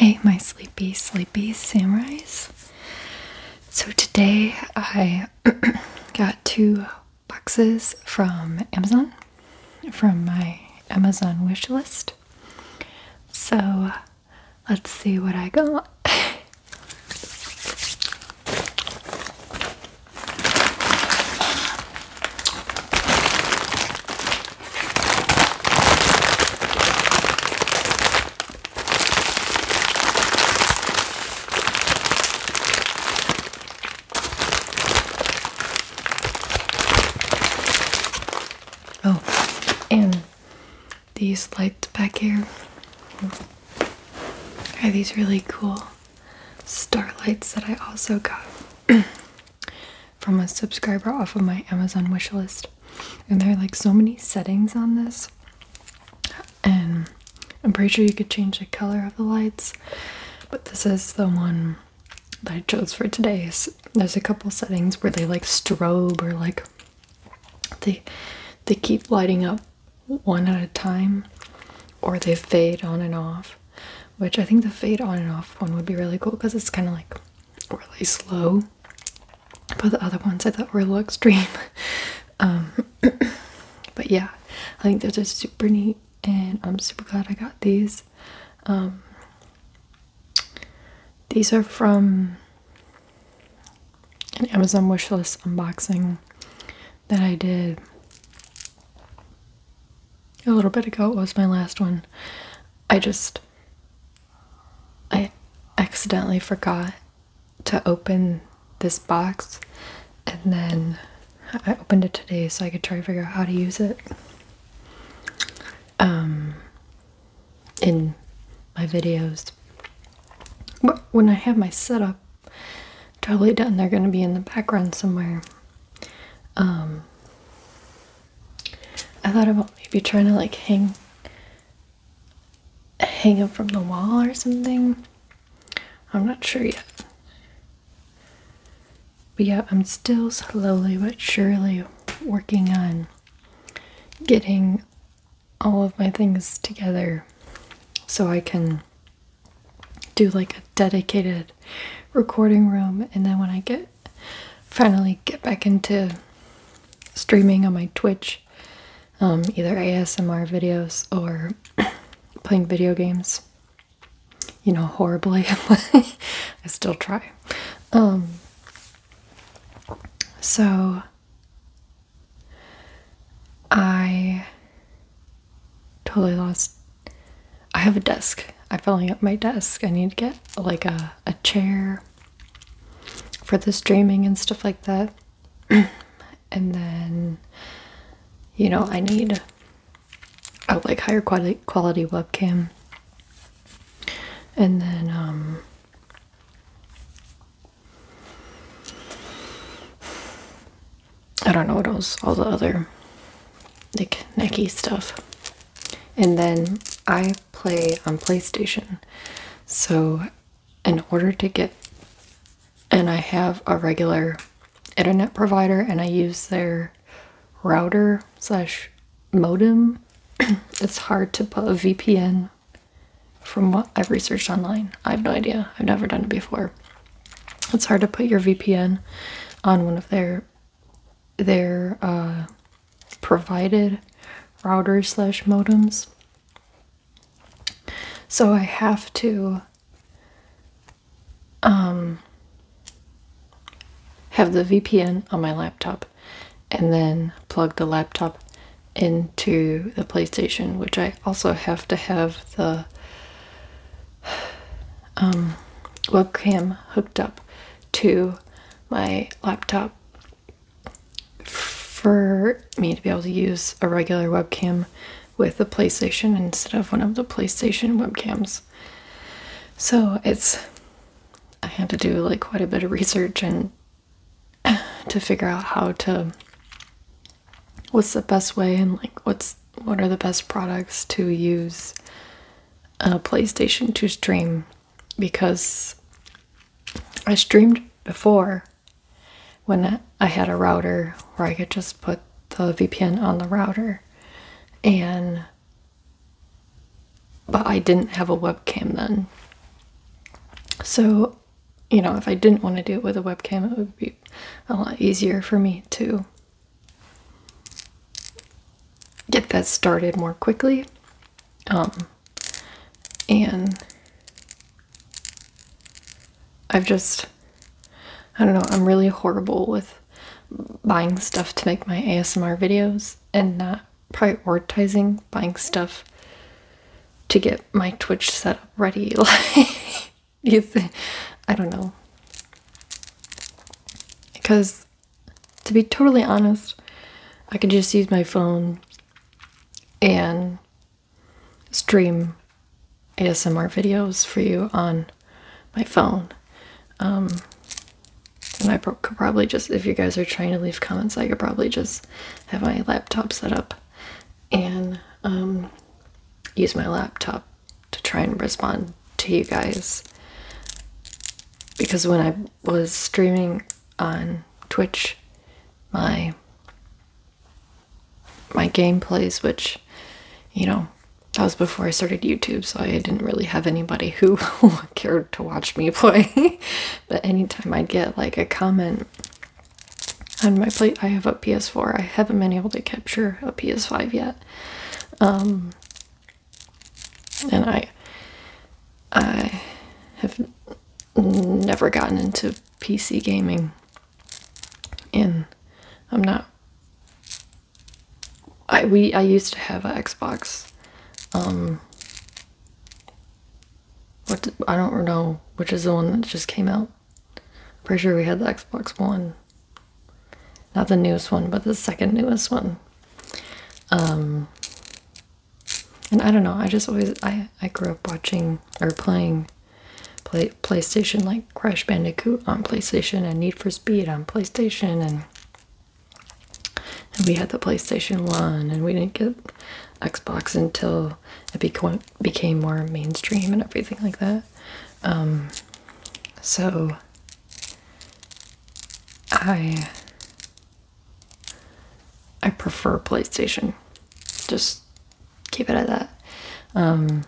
Hey, my sleepy, sleepy samurais. So, today I got two boxes from Amazon, from my Amazon wish list. So, let's see what I got. Oh, and these lights back here are these really cool star lights that I also got. from a subscriber off of my Amazon wish list. And there are like so many settings on this. And I'm pretty sure you could change the color of the lights. But this is the one that I chose for today. There's a couple settings where they like strobe or like they they keep lighting up one at a time or they fade on and off. Which I think the fade on and off one would be really cool because it's kind of like really slow, but the other ones I thought were a little extreme. Um, but yeah, I think they're super neat, and I'm super glad I got these. Um, these are from an Amazon wishlist unboxing that I did a little bit ago. It was my last one. I just I accidentally forgot to open this box and then I opened it today so I could try to figure out how to use it. Um, in my videos. But when I have my setup totally done, they're going to be in the background somewhere. Um, I thought about maybe trying to like hang hang them from the wall or something. I'm not sure yet. But yeah, I'm still slowly but surely working on getting all of my things together so I can do like a dedicated recording room and then when I get finally get back into streaming on my Twitch, um, either ASMR videos or playing video games. You know, horribly. I still try. Um, so I totally lost I have a desk. I'm filling up my desk. I need to get like a, a chair for the streaming and stuff like that. and then, you know, I need a like higher quality quality webcam. And then um I don't know what else all the other like necky stuff. And then I play on PlayStation. So, in order to get, and I have a regular internet provider and I use their router slash modem. it's hard to put a VPN from what I've researched online. I have no idea. I've never done it before. It's hard to put your VPN on one of their their uh, provided router slash modems. So I have to um, have the VPN on my laptop and then plug the laptop into the PlayStation, which I also have to have the um, webcam hooked up to my laptop for me to be able to use a regular webcam with the PlayStation instead of one of the PlayStation webcams. So it's, I had to do like quite a bit of research and to figure out how to, what's the best way and like what's, what are the best products to use a PlayStation to stream because I streamed before when I had a router where I could just put the VPN on the router and but I didn't have a webcam then. So, you know, if I didn't want to do it with a webcam, it would be a lot easier for me to get that started more quickly. Um, and I've just, I don't know, I'm really horrible with buying stuff to make my ASMR videos and not prioritizing buying stuff to get my Twitch set up ready. Like, I don't know. Because to be totally honest, I could just use my phone and stream ASMR videos for you on my phone. Um, and I could probably just, if you guys are trying to leave comments, I could probably just have my laptop set up and um, use my laptop to try and respond to you guys because when I was streaming on Twitch, my my gameplays, which you know, that was before I started YouTube, so I didn't really have anybody who cared to watch me play. but anytime I'd get like a comment on my plate, I have a PS4. I haven't been able to capture a PS5 yet. Um, and I I have never gotten into PC gaming and I'm not I we I used to have an Xbox um, what I don't know which is the one that just came out. I'm pretty sure we had the Xbox One not the newest one, but the second newest one. Um, and I don't know. I just always I I grew up watching or playing play PlayStation like Crash Bandicoot on PlayStation and Need for Speed on PlayStation and and we had the PlayStation 1 and we didn't get Xbox until it became became more mainstream and everything like that. Um, so I I prefer PlayStation. Just keep it at that. Um,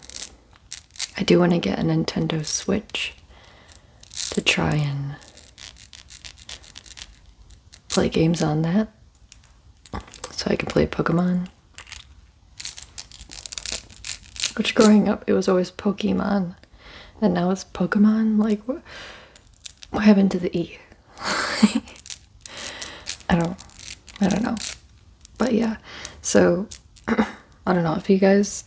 I do want to get a Nintendo Switch to try and play games on that so I can play Pokemon. Which growing up, it was always Pokemon and now it's Pokemon. Like, what, what happened to the E? I don't, I don't know. But yeah, so I don't know if you guys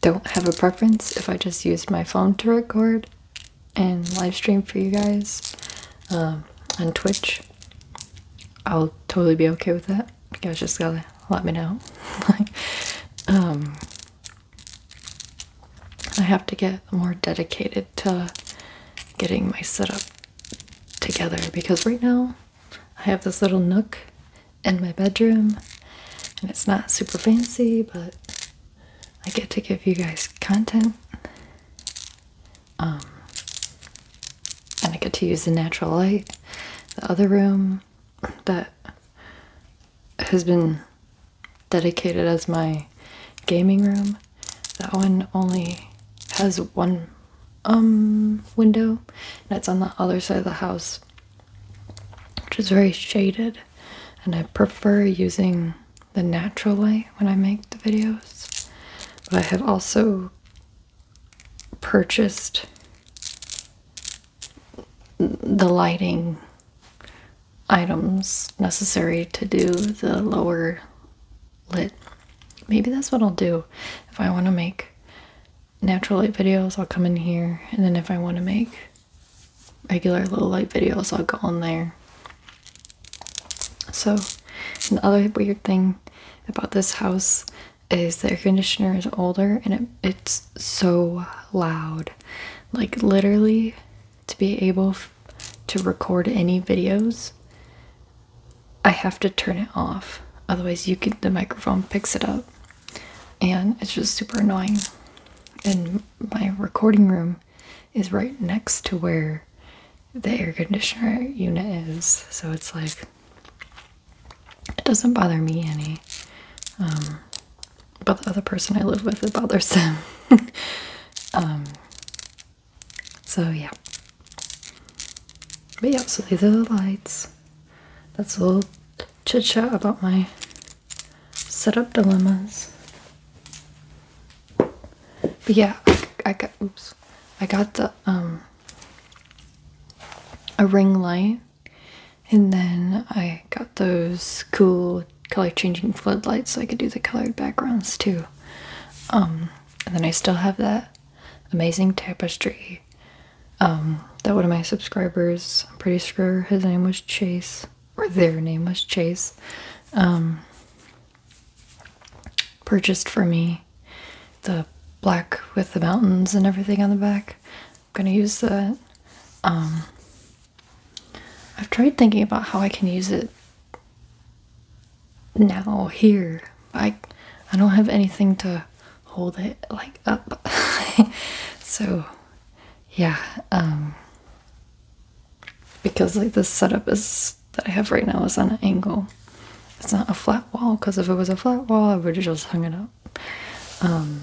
don't have a preference if I just use my phone to record and live stream for you guys um, on Twitch. I'll totally be okay with that you guys just gotta let me know. um, I have to get more dedicated to getting my setup together because right now I have this little nook in my bedroom and it's not super fancy, but I get to give you guys content. Um, and I get to use the natural light. The other room that has been dedicated as my gaming room. That one only has one um window and it's on the other side of the house which is very shaded and I prefer using the natural light when I make the videos. But I have also purchased the lighting items necessary to do the lower lit. Maybe that's what I'll do. If I want to make natural light videos, I'll come in here. And then if I want to make regular low light videos, I'll go in there. So, another weird thing about this house is the air conditioner is older and it's so loud. Like literally to be able to record any videos, I have to turn it off. Otherwise you could the microphone picks it up and it's just super annoying. And my recording room is right next to where the air conditioner unit is. So it's like it doesn't bother me any. Um, but the other person I live with, it bothers them. Um, so, yeah. But yeah, so these are the lights. That's a little chit chat about my setup dilemmas. But yeah, I, I got, oops, I got the, um, a ring light and then I got those cool color changing floodlights so I could do the colored backgrounds too. Um, and then I still have that amazing tapestry um, that one of my subscribers, I'm pretty sure his name was Chase, or their name was Chase, um, purchased for me the black with the mountains and everything on the back gonna use the. Um, I've tried thinking about how I can use it now here. I I don't have anything to hold it like up. so yeah, um because like this setup is that I have right now is on an angle. It's not a flat wall because if it was a flat wall I would have just hung it up. Um,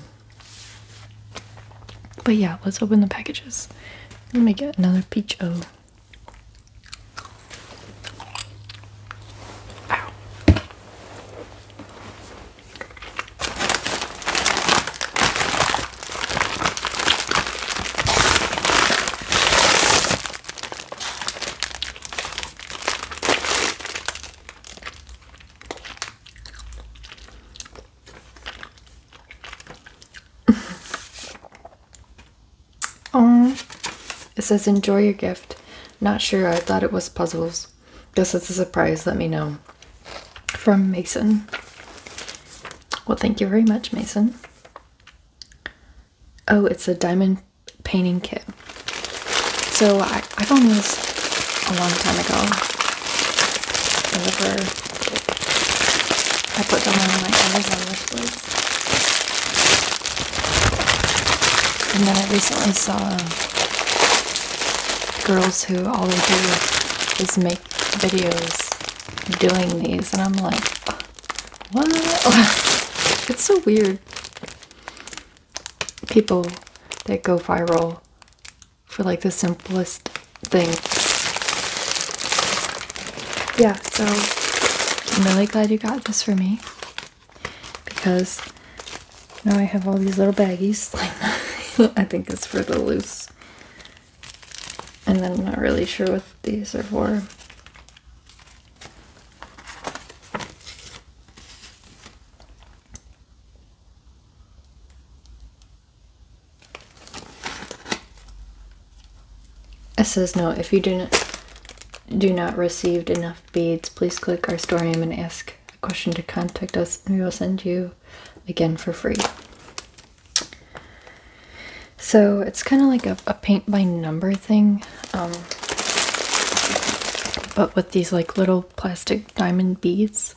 but yeah, let's open the packages. Let me get another peach O. Oh, it says enjoy your gift. Not sure. I thought it was puzzles. Guess it's a surprise. Let me know. From Mason. Well, thank you very much, Mason. Oh, it's a diamond painting kit. So I, I found this a long time ago. I put them on my Amazon wishlist, And then I recently saw girls who all they do is make videos doing these and I'm like what it's so weird people that go viral for like the simplest thing. Yeah, so I'm really glad you got this for me because now I have all these little baggies. Like I think it's for the loose. And then I'm not really sure what these are for. It says no, if you do not do not received enough beads, please click our store name and ask a question to contact us and we will send you again for free. So it's kind of like a, paint by number thing, um, but with with these like little plastic diamond beads.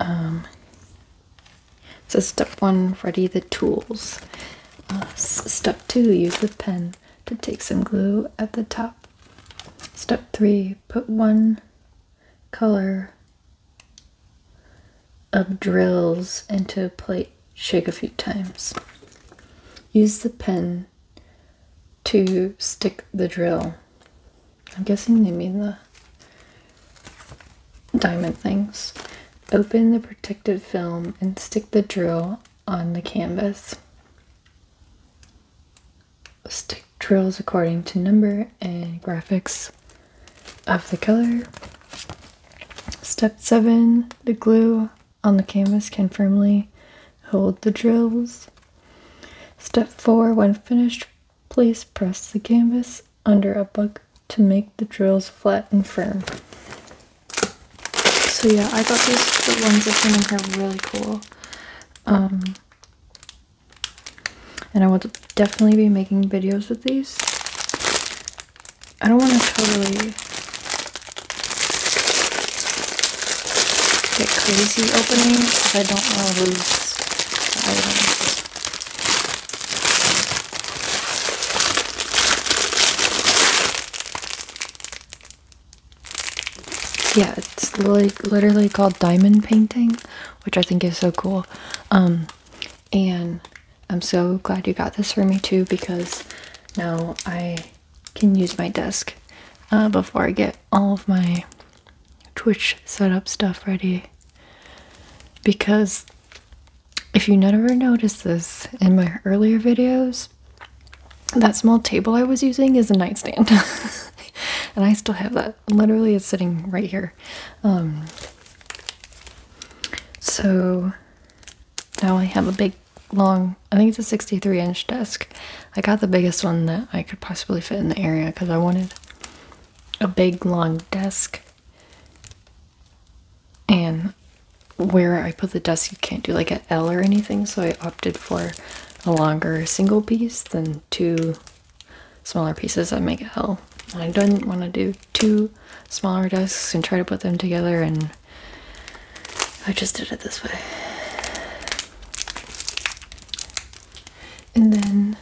Um, so step one, ready the tools. Uh, step two, use the pen to take some glue at the top. Step three, put one color of drills into a plate, shake a few times. Use the pen to stick the drill. I'm guessing they mean the diamond things. Open the protective film and stick the drill on the canvas. Stick drills according to number and graphics of the color. Step 7, the glue on the canvas can firmly hold the drills. Step 4. When finished, please press the canvas under a book to make the drills flat and firm. So yeah, I thought these the ones that came in here really cool. Um, and I will definitely be making videos with these. I don't want to totally get crazy opening because I don't want to lose items. Yeah, it's like literally called diamond painting, which I think is so cool. Um, and I'm so glad you got this for me too because now I can use my desk uh, before I get all of my Twitch setup stuff ready. Because if you never noticed this in my earlier videos, that small table I was using is a nightstand. and I still have that. Literally, it's sitting right here. Um, so now I have a big long, I think it's a 63 inch desk. I got the biggest one that I could possibly fit in the area because I wanted a big long desk. And where I put the desk, you can't do like an L or anything, so I opted for a longer single piece than two smaller pieces that make an L. didn't want to do two smaller desks and try to put them together and I just did it this way. And then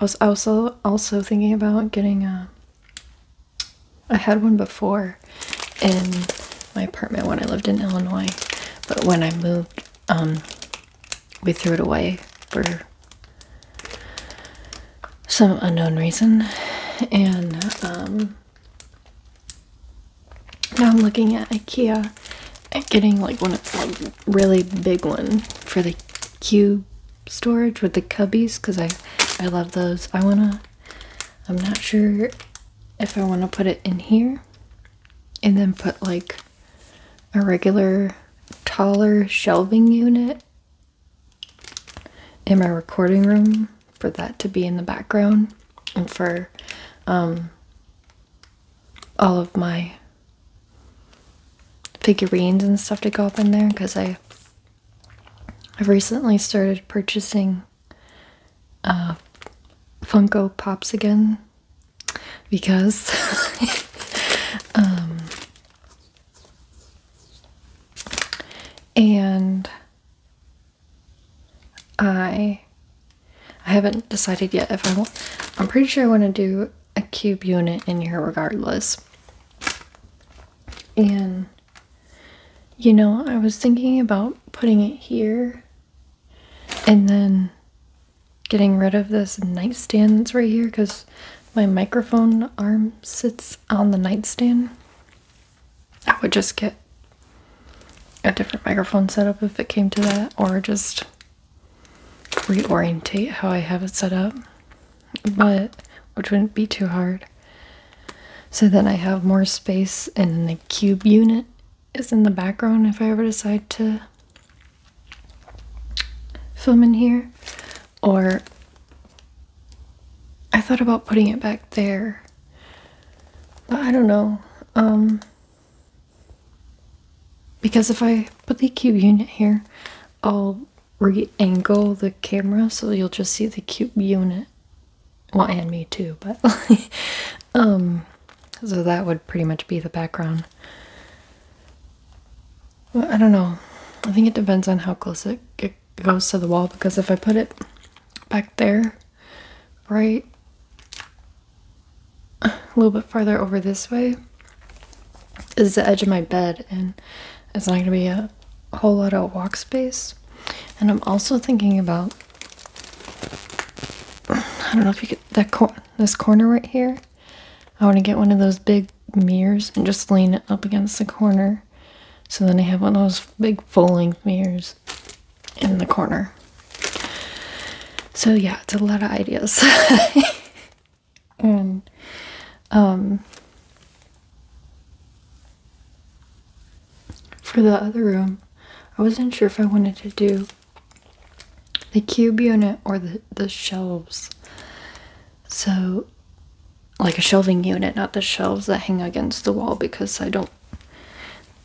I was also also thinking about getting a. Uh, I had one before in my apartment when I lived in Illinois, but when I moved, um, we threw it away for some unknown reason, and um, now I'm looking at IKEA at getting like one of like really big one for the cube storage with the cubbies because I I love those. I wanna I'm not sure if I wanna put it in here and then put like a regular taller shelving unit in my recording room for that to be in the background and for um, all of my figurines and stuff to go up in there because I I've recently started purchasing uh, Funko Pops again because um, and I I haven't decided yet if I want. I'm pretty sure I want to do a cube unit in here regardless. And you know, I was thinking about putting it here and then getting rid of this nightstand that's right here because my microphone arm sits on the nightstand. I would just get a different microphone set up if it came to that, or just reorientate how I have it set up, but which wouldn't be too hard. So then I have more space, and the cube unit is in the background if I ever decide to film in here, or I thought about putting it back there. But I don't know. Um, because if I put the cube unit here, I'll re-angle the camera so you'll just see the cube unit. Well, and me too, but um, so that would pretty much be the background. I don't know. I think it depends on how close it, it goes to the wall because if I put it back there, right a little bit farther over this way is the edge of my bed and it's not going to be a whole lot of walk space. And I'm also thinking about I don't know if you get that cor this corner right here. I want to get one of those big mirrors and just lean it up against the corner so then I have one of those big full length mirrors in the corner. So yeah, it's a lot of ideas. and um for the other room, I wasn't sure if I wanted to do the cube unit or the the shelves. So like a shelving unit, not the shelves that hang against the wall because I don't.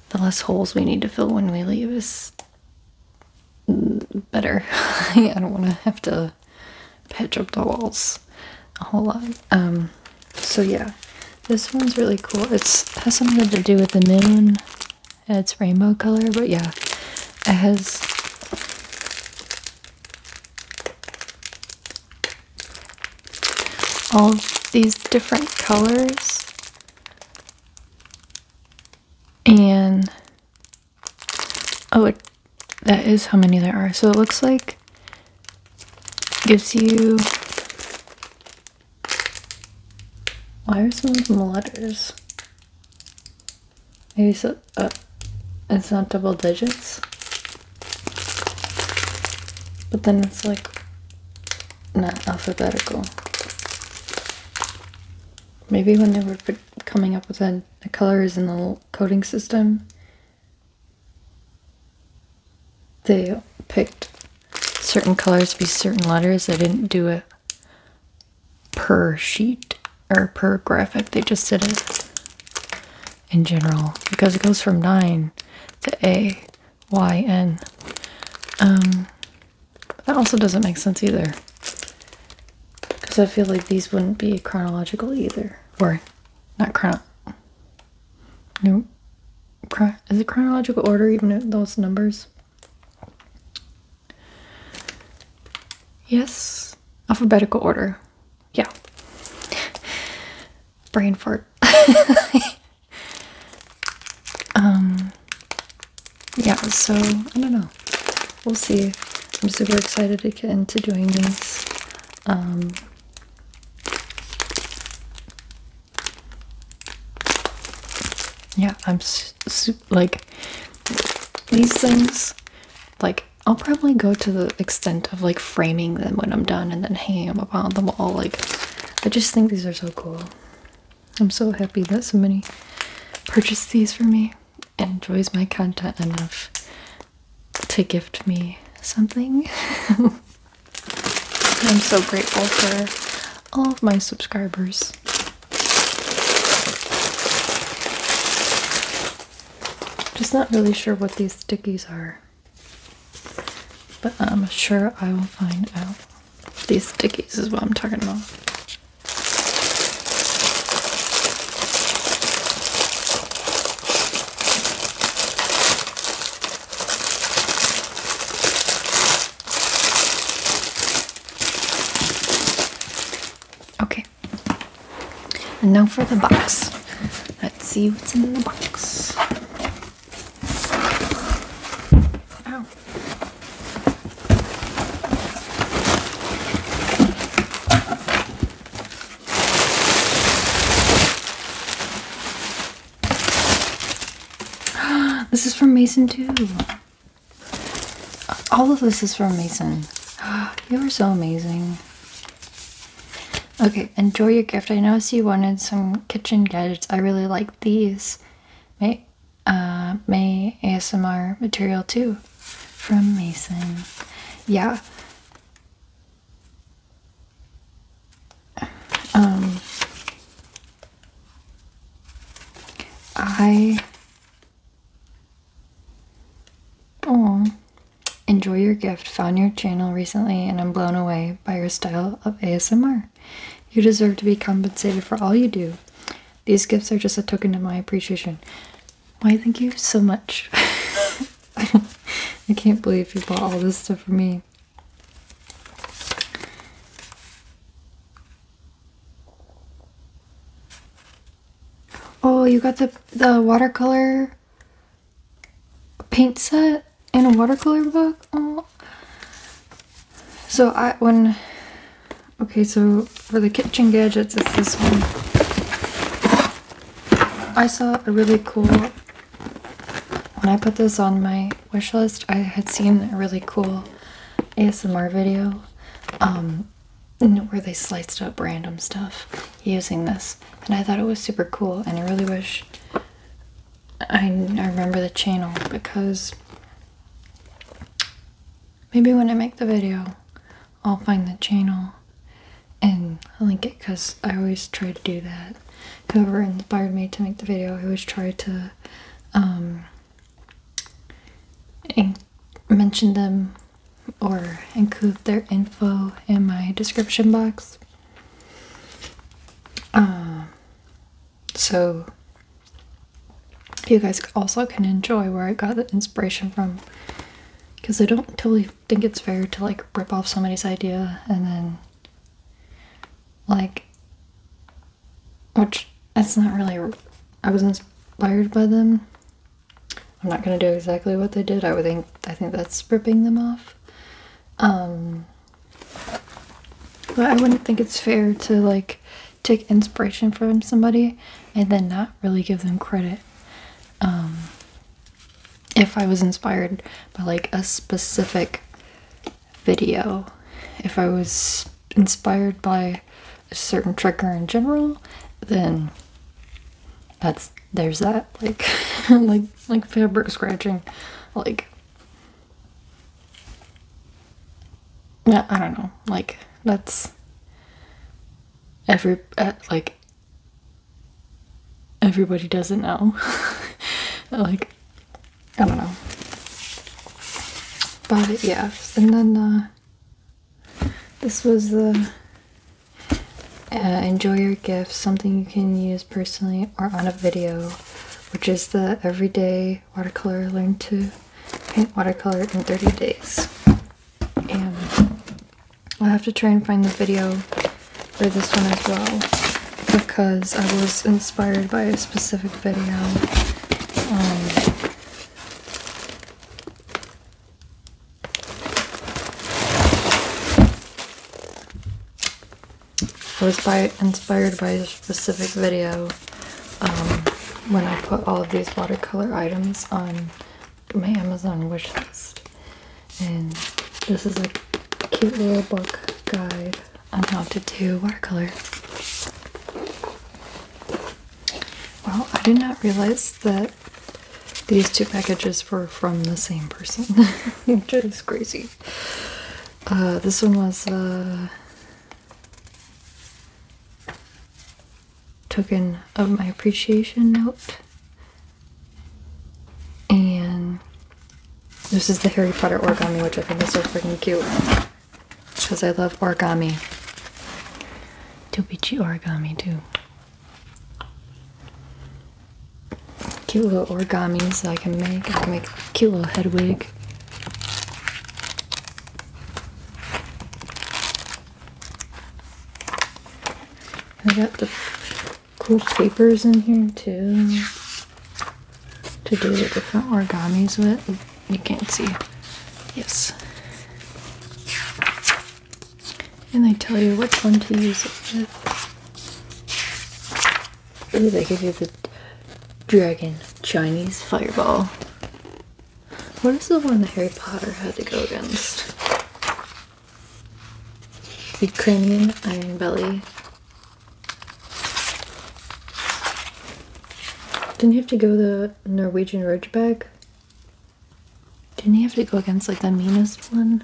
The less holes we need to fill when we leave is better. I don't want to have to patch up the walls a whole lot. Um, so yeah, this one's really cool. It's has something to do with the moon. It's rainbow color, but yeah, it has all these different colors and oh it, that is how many there are so it looks like gives you why are some of them letters maybe so uh, it's not double digits but then it's like not alphabetical. Maybe when they were coming up with the, colors and the coding system, they picked certain colors to be certain letters. They didn't do it per sheet or per graphic. They just did it in general because it goes from 9 to A, Y, N. Um, that also doesn't make sense either because I feel like these wouldn't be chronological either. Or not chron. No. Chron is it chronological order even those numbers? Yes. Alphabetical order. Yeah brain fart. Um, yeah, so I don't know. We'll see. I'm super excited to get into doing these. Um, yeah, I'm su like these things. Like I'll probably go to the extent of like framing them when I'm done and then hanging them up on the wall. Like I just think these are so cool. I'm so happy that somebody purchased these for me and enjoys my content enough to gift me something. I'm so grateful for all of my subscribers. Just not really sure what these stickies are. But I'm sure I will find out. These stickies is what I'm talking about. Okay, and now for the box. Let's see what's in the box. This is from Mason too. All of this is from Mason. You're so amazing. Okay, enjoy your gift. I noticed you wanted some kitchen gadgets. I really like these. May, uh, May ASMR material too from Mason. Yeah. Um, I. Oh, Enjoy your gift. Found your channel recently and I'm blown away by your style of ASMR. You deserve to be compensated for all you do. These gifts are just a token of my appreciation. Why, thank you so much. I can't believe you bought all this stuff for me. Oh, you got the the watercolor a paint set and a watercolor book. Oh. So I when okay, so for the kitchen gadgets, it's this one. I saw a really cool. When I put this on my wish list, I had seen a really cool ASMR video um, where they sliced up random stuff using this and I thought it was super cool and I really wish I, remember the channel because maybe when I make the video I'll find the channel and link it because I always try to do that. Whoever inspired me to make the video, I always try to um, mention them or include their info in my description box. Um, so you guys also can enjoy where I got the inspiration from because I don't totally think it's fair to like rip off somebody's idea and then like which that's not really I was inspired by them I'm not gonna do exactly what they did. I would think I think that's stripping them off. Um, but I wouldn't think it's fair to like take inspiration from somebody and then not really give them credit. Um, if I was inspired by like a specific video, if I was inspired by a certain trigger in general, then. That's there's that like like like fabric scratching like yeah i don't know like that's every uh, like everybody doesn't know like i don't know but yeah and then uh, this was the uh, enjoy your gift, something you can use personally or on a video, which is the everyday watercolor learn to paint watercolor in 30 days. And I'll have to try and find the video for this one as well because I was inspired by a specific video. Um, I was inspired by a specific video um, when I put all of these watercolor items on my Amazon wishlist, And this is a cute little book guide on how to do watercolor. Well, I did not realize that these two packages were from the same person, which is crazy. Uh, this one was a uh, token of my appreciation note, and this is the Harry Potter origami, which I think is so freaking cute because I love origami. Dobichi origami too cute little origamis I can make. I can make a cute little head wig. I got the cool papers in here too to do the different origamis with. You can't see. Yes. And they tell you which one to use it with. Ooh, I give you the dragon Chinese fireball. What is the one that Harry Potter had to go against? Ukrainian iron belly. Didn't you have to go the Norwegian ridgeback. Didn't he have to go against like the meanest one?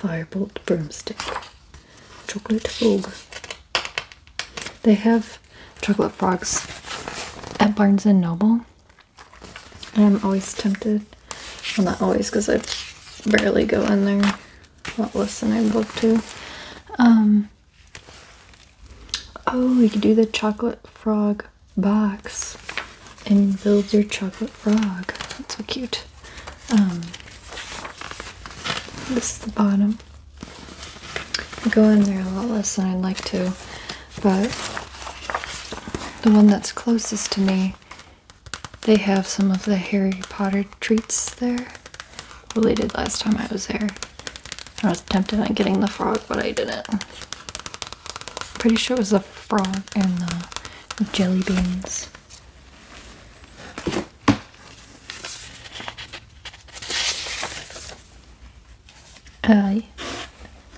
Firebolt broomstick. Chocolate frog. They have chocolate frogs at Barnes and Noble. I'm always tempted. Well not always because I barely go in there. What less than I book to. Um, Oh, you could do the chocolate frog box and build your chocolate frog. That's so cute. Um, this is the bottom. I go in there a lot less than I'd like to, but the one that's closest to me, they have some of the Harry Potter treats there related last time I was there. I was tempted on getting the frog, but I didn't. pretty sure it was the frog and the jelly beans. Uh,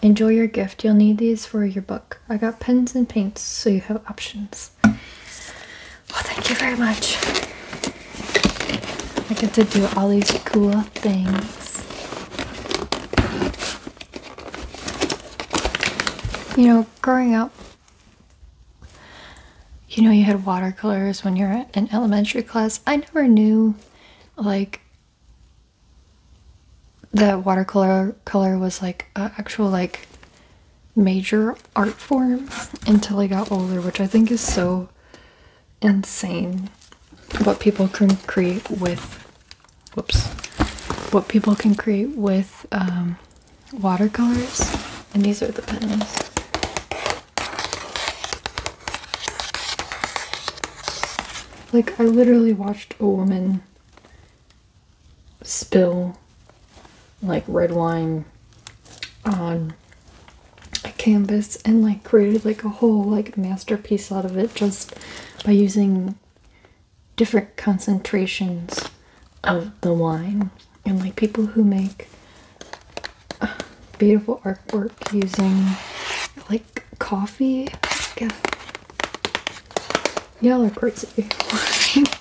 enjoy your gift. You'll need these for your book. I got pens and paints, so you have options. Well, thank you very much. I get to do all these cool things. You know, growing up, you know, you had watercolors when you were in elementary class. I never knew, like, that watercolor color was like actual like major art form until I got older, which I think is so insane what people can create with whoops what people can create with um, watercolors and these are the pens like i literally watched a woman spill like red wine on a canvas and like created like a whole like masterpiece out of it just by using different concentrations of the wine and like people who make uh, beautiful artwork using like coffee yeah like crazy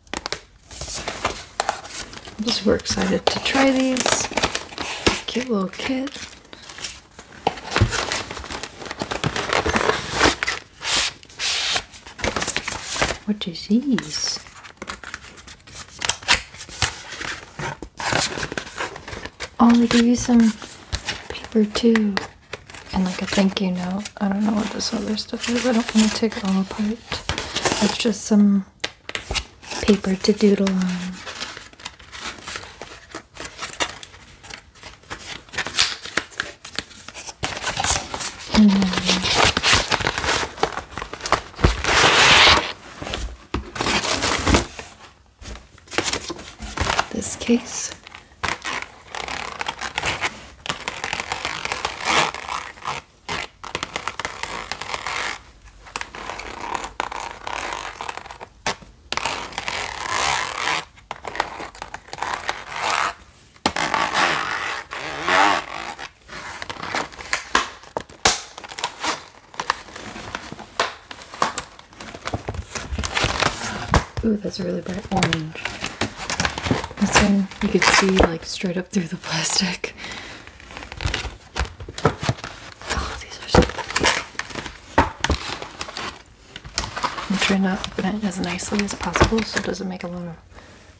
I'm just super excited to try these. Cute little kit. What is these? Oh, they give you some paper too and like a thank you note. I don't know what this other stuff is. I don't want to take it all apart. It's just some paper to doodle on. this case Ooh, that's a really bright orange you can see like straight up through the plastic. Oh, these I'm trying to open it as nicely as possible so it doesn't make a lot of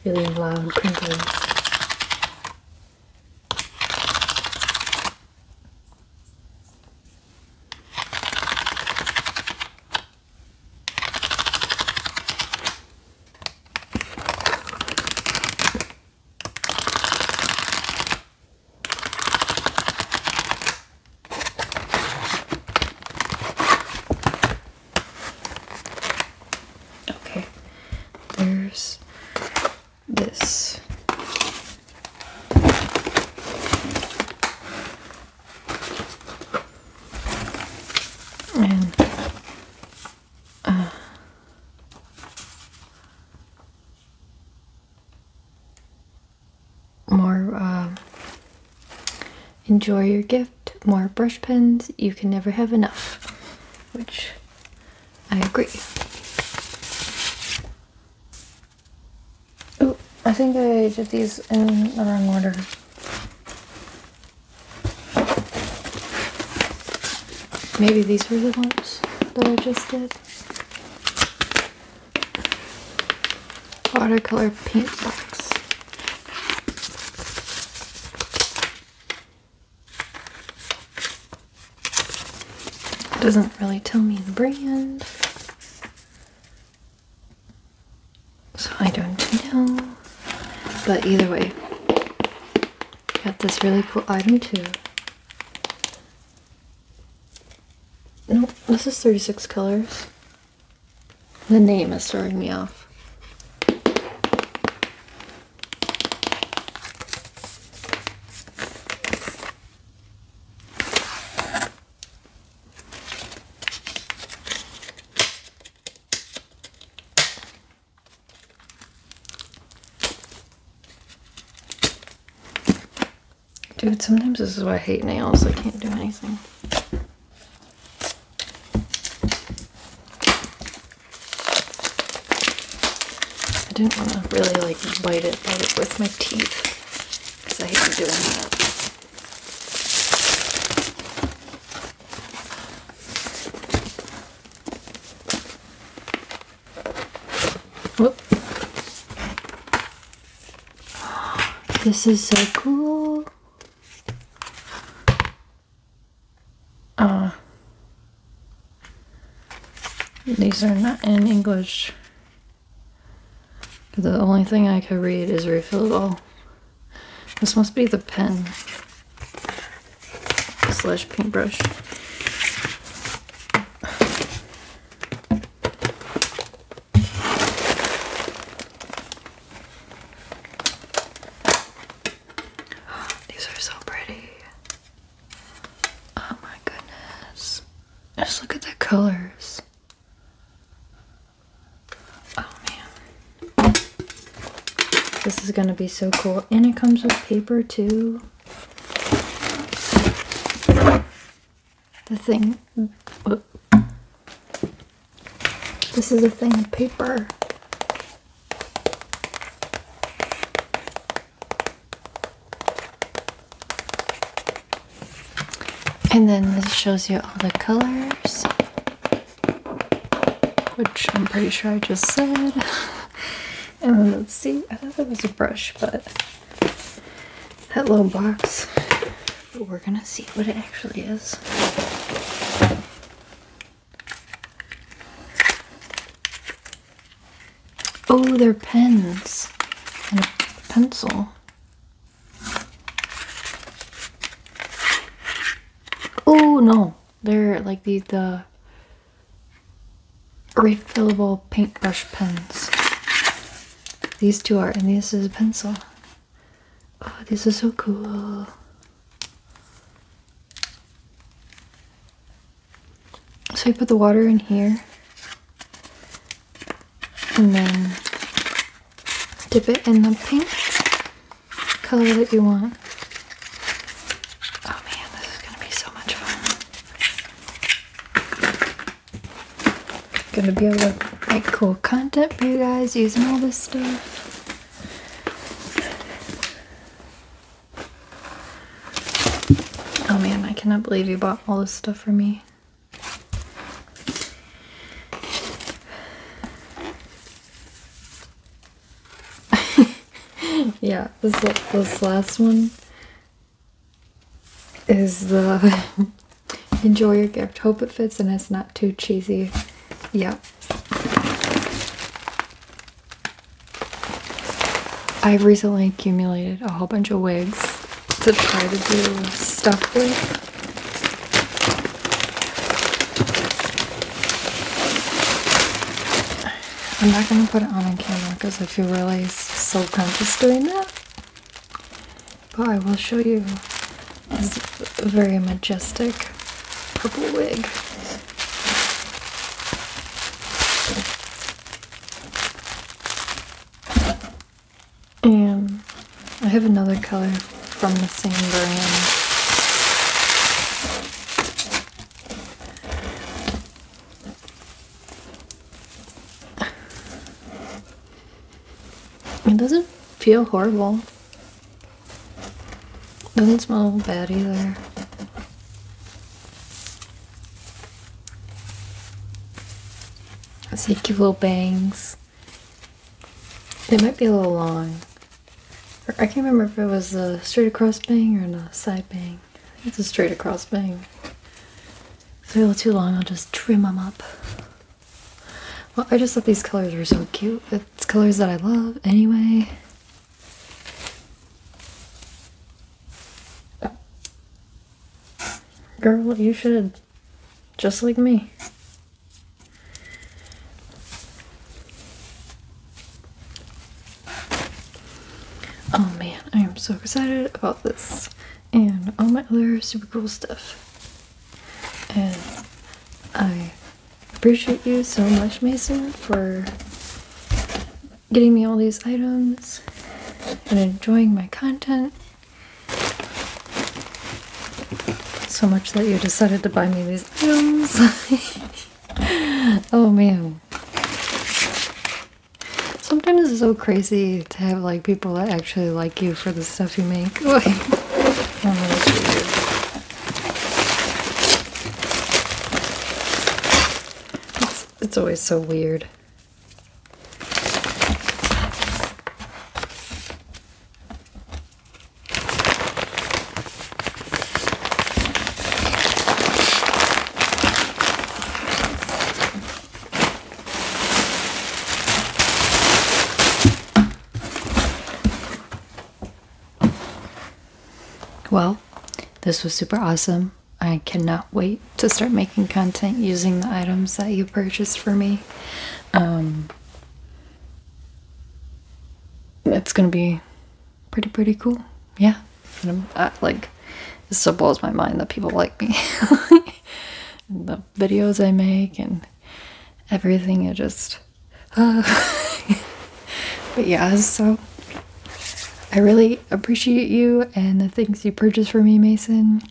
really loud crinkling. Okay, there's this and uh, more um, enjoy your gift more brush pens you can never have enough which i agree oh i think i did these in the wrong order Maybe these were the ones that I just did. Watercolor paint box. doesn't really tell me the brand. So I don't know. But either way, got this really cool item too. No, nope, this is 36 colors. The name is throwing me off. Dude, sometimes this is why I hate nails. I can't do anything. I didn't want to really like bite it, bite it with my teeth because I hate doing that. Whoop. This is so cool. Uh, these are not in English. The only thing I could read is refillable. This must be the pen slash paintbrush. These are so pretty. Oh my goodness. Just look at the colors. Oh man. This is going to be so cool. And it comes with paper too. The thing. This is a thing of paper. And then this shows you all the colors, which I'm pretty sure I just said. and then let's see, I thought it was a brush, but that little box. we're gonna see what it actually is. Oh, they're pens and a pencil. Oh no, they're like these the refillable paintbrush pens. These two are, and this is a pencil. Oh, this is so cool. So you put the water in here and then dip it in the pink color that you want. Oh man, this is gonna be so much fun. Gonna be able to make cool content for you guys using all this stuff. Oh man, I cannot believe you bought all this stuff for me. yeah, this this last one is the enjoy your gift. Hope it fits and it's not too cheesy. Yeah. I've recently accumulated a whole bunch of wigs to try to do stuff with. I'm not going to put it on on camera because I feel really so conscious doing that. But I will show you this very majestic purple wig. And I have another color from the same brand. It doesn't feel horrible. Doesn't smell bad either. Let's take little bangs. It might be a little long. I can't remember if it was a straight across bang or a side bang. It's a straight across bang. If they're a little too long, I'll just trim them up. Well, I just thought these colors were so cute. It's colors that I love anyway. Girl, you should just like me. Oh man, I am so excited about this and all my other super cool stuff. And I appreciate you so much, Mason, for getting me all these items and enjoying my content. So much that you decided to buy me these items. oh man. Sometimes it's so crazy to have like people that actually like you for the stuff you make. it's always so weird. Well, this was super awesome. I cannot wait to start making content using the items that you purchased for me. Um, it's gonna be pretty pretty cool. Yeah, and I'm like, it still blows my mind that people like me. the videos I make and everything, it just. but yeah, so I really appreciate you and the things you purchase for me, Mason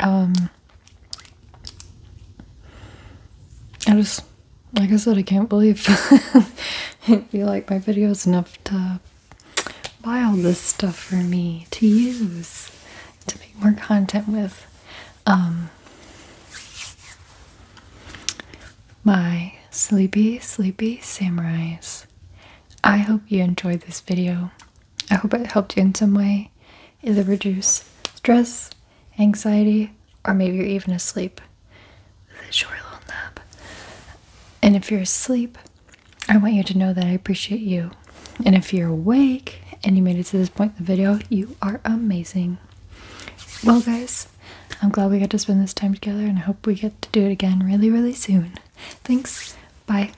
um, I just, like I said, I can't believe you like my videos enough to buy all this stuff for me to use to make more content with. Um, my sleepy, sleepy samurais. I hope you enjoyed this video. I hope it helped you in some way either reduce stress, anxiety, or maybe you're even asleep with a short little nap. And if you're asleep, I want you to know that I appreciate you. And if you're awake and you made it to this point in the video, you are amazing. Well, guys, I'm glad we got to spend this time together and I hope we get to do it again really, really soon. Thanks. Bye.